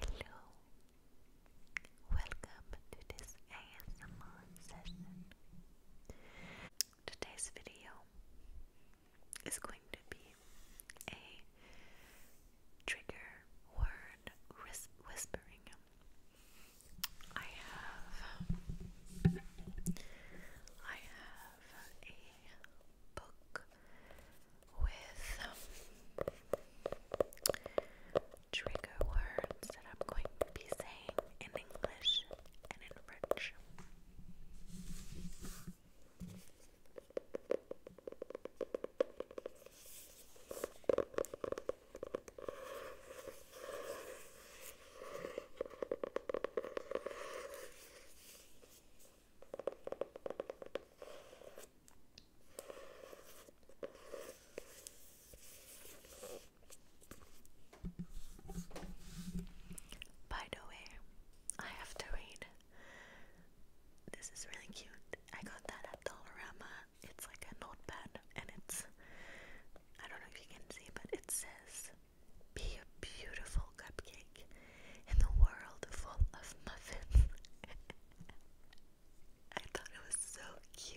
Hello, welcome to this ASMR session. Today's video is going to be a trigger word whispering. I have, I have a book with um, trigger words that I'm going to be saying in English and in French. By the way, I have to read. This is really cute. I got that at Dollarama. It's like a notepad, and it's I don't know if you can see, but it says, Be a beautiful cupcake in the world full of muffins. I thought it was so cute.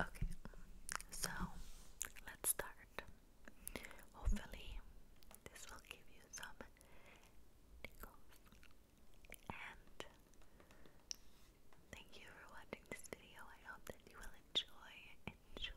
Okay, so let's start. Hopefully, this will give you some And thank you for watching this video. I hope that you will enjoy, enjoy.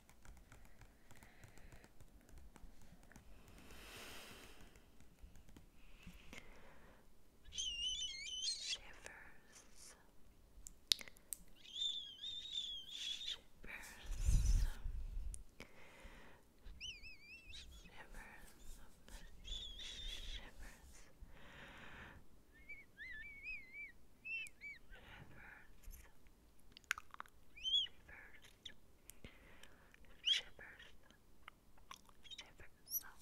Shivers. Shivers. Shivers. Shivers. Shivers. Shivers. Shivers, shivers. Slow,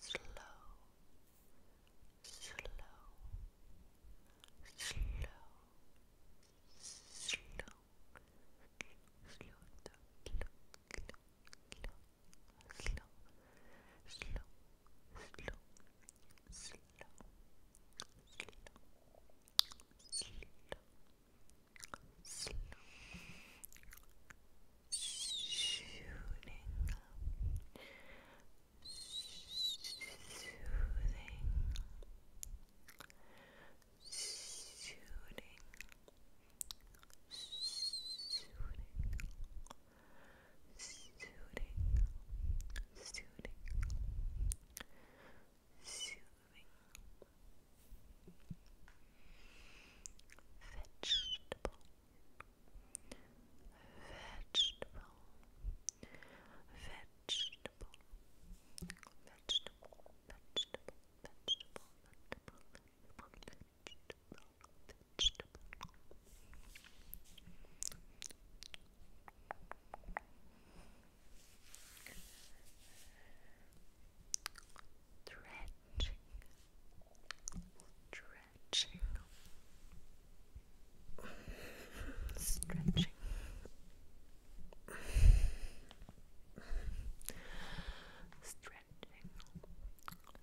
slow, slow, slow, slow, slow, slow, slow, slow slow, slow, soothing, Soothing, soothing, soothing, soothing, vegetable, vegetable, vegetable, vegetable, vegetable, vegetable, vegetable, vegetable vegetable, vegetable. stretching.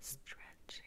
Stretching, stretching,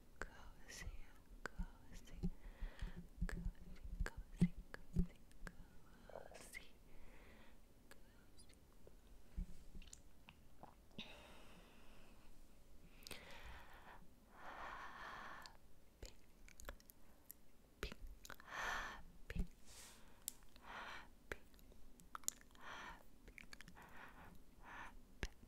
cozy, cozy, cozy, cozy, cozy, cozy, cozy. Happy, happy, happy, happy, happy, happy,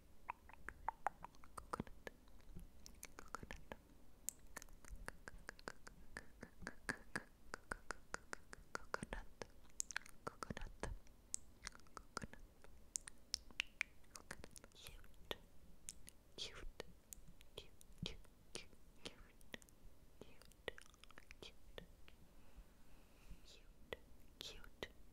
coconut, coconut, coconut, coconut, coconut, cute, cute, cute, cute, cute, cute, cute, cute, cute, cute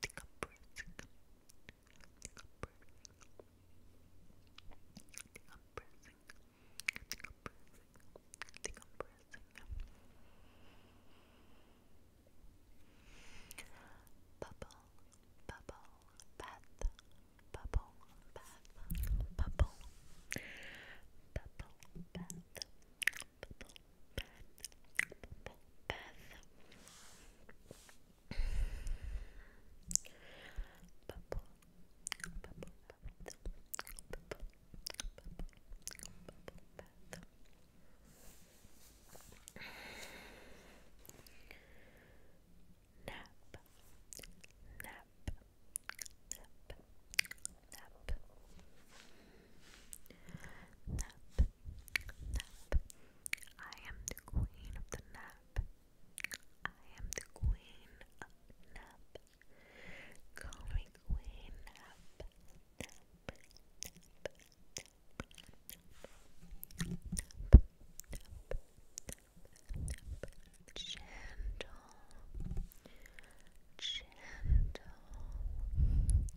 Take a breath. Take a breath. Decompressing, decompressing, decompressing. Bubble, bubble, bath, bubble, bath, bubble, bubble, bath, bubble, bath, bubble, bath. Bubble, bubble, Nap, nap, nap, nap, nap, Nap. I am the queen of the nap. I am the queen of nap. Call me queen nap. Gentle, gentle,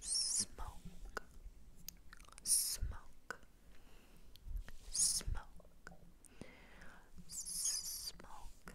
Smoke, smoke, smoke, smoke.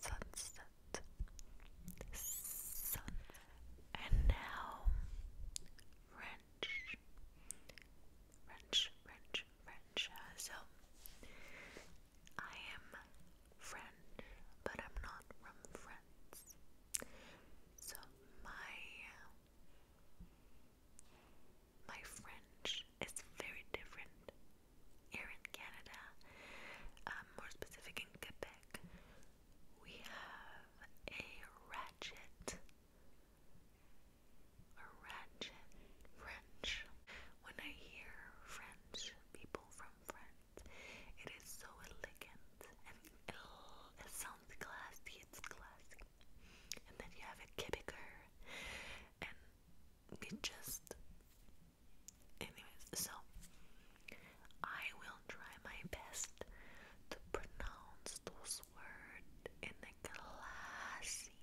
sunset, sun, and now French, French, French, French. so I am French, but I'm not from France. So my my French is very different here in Canada, um, more specific in Quebec. We have a ratchet, a ratchet French. When I hear French, people from France, it is so elegant and it sounds classy. It's classy. And then you have a Quebecer, and it just anyways so I will try my best to pronounce those words in a classy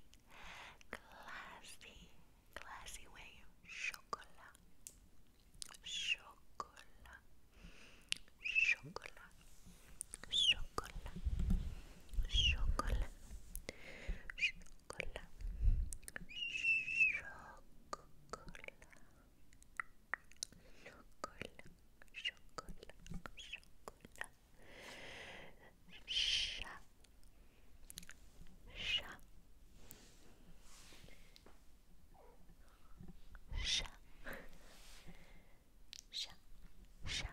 classy classy way chocolat chocolat chocolat chocolat chocolat Chocola. Chocola. Chocola. Chocola. Chocola. Chat. Chat. Chat. Chat. Chat.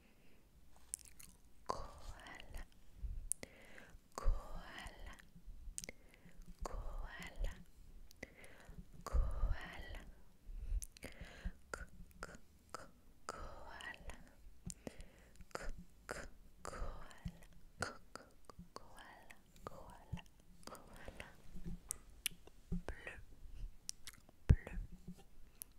koala koala koala koala k k k koala k k koala k k koala koala koala bleu bleu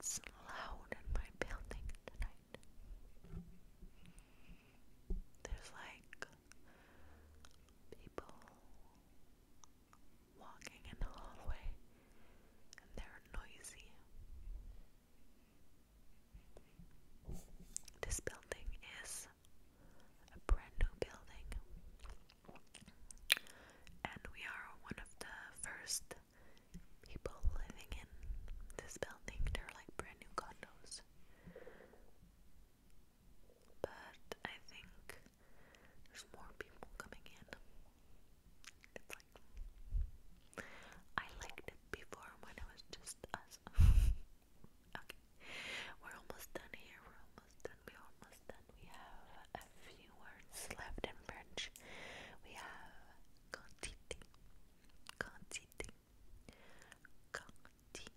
it's loud in my building tonight. There's like people walking in the hallway and they're noisy. This building is a brand new building, and we are one of the first people living in this building. They're like brand new condos. But I think there's more people coming in. It's like I liked it before when it was just us. okay. We're almost done here. We're almost done. We're almost done. We have a few words left in French. We have quantité. Quantité. Quantité.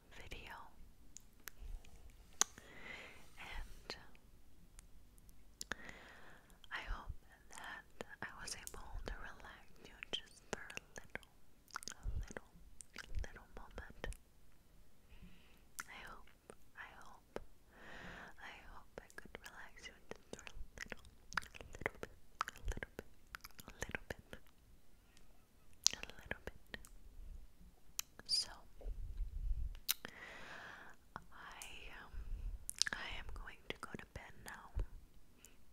video. And I hope that I was able to relax you just for a little, a little, little moment. I hope, I hope, I hope I could relax you just for a little, little bit, a little bit, a little bit, a little bit. So I um, I am going to go to bed now.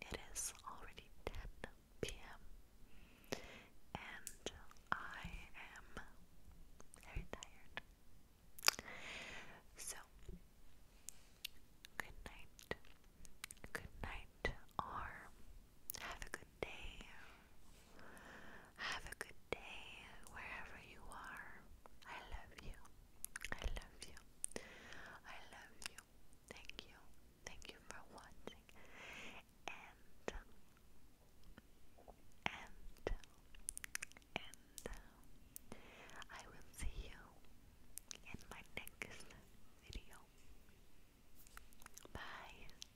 It is already 10 p.m. and I am very tired. So good night. Good night or have a good have a good day wherever you are. I love you. I love you. I love you. Thank you. Thank you for watching. And and and I will see you in my next video. Bye.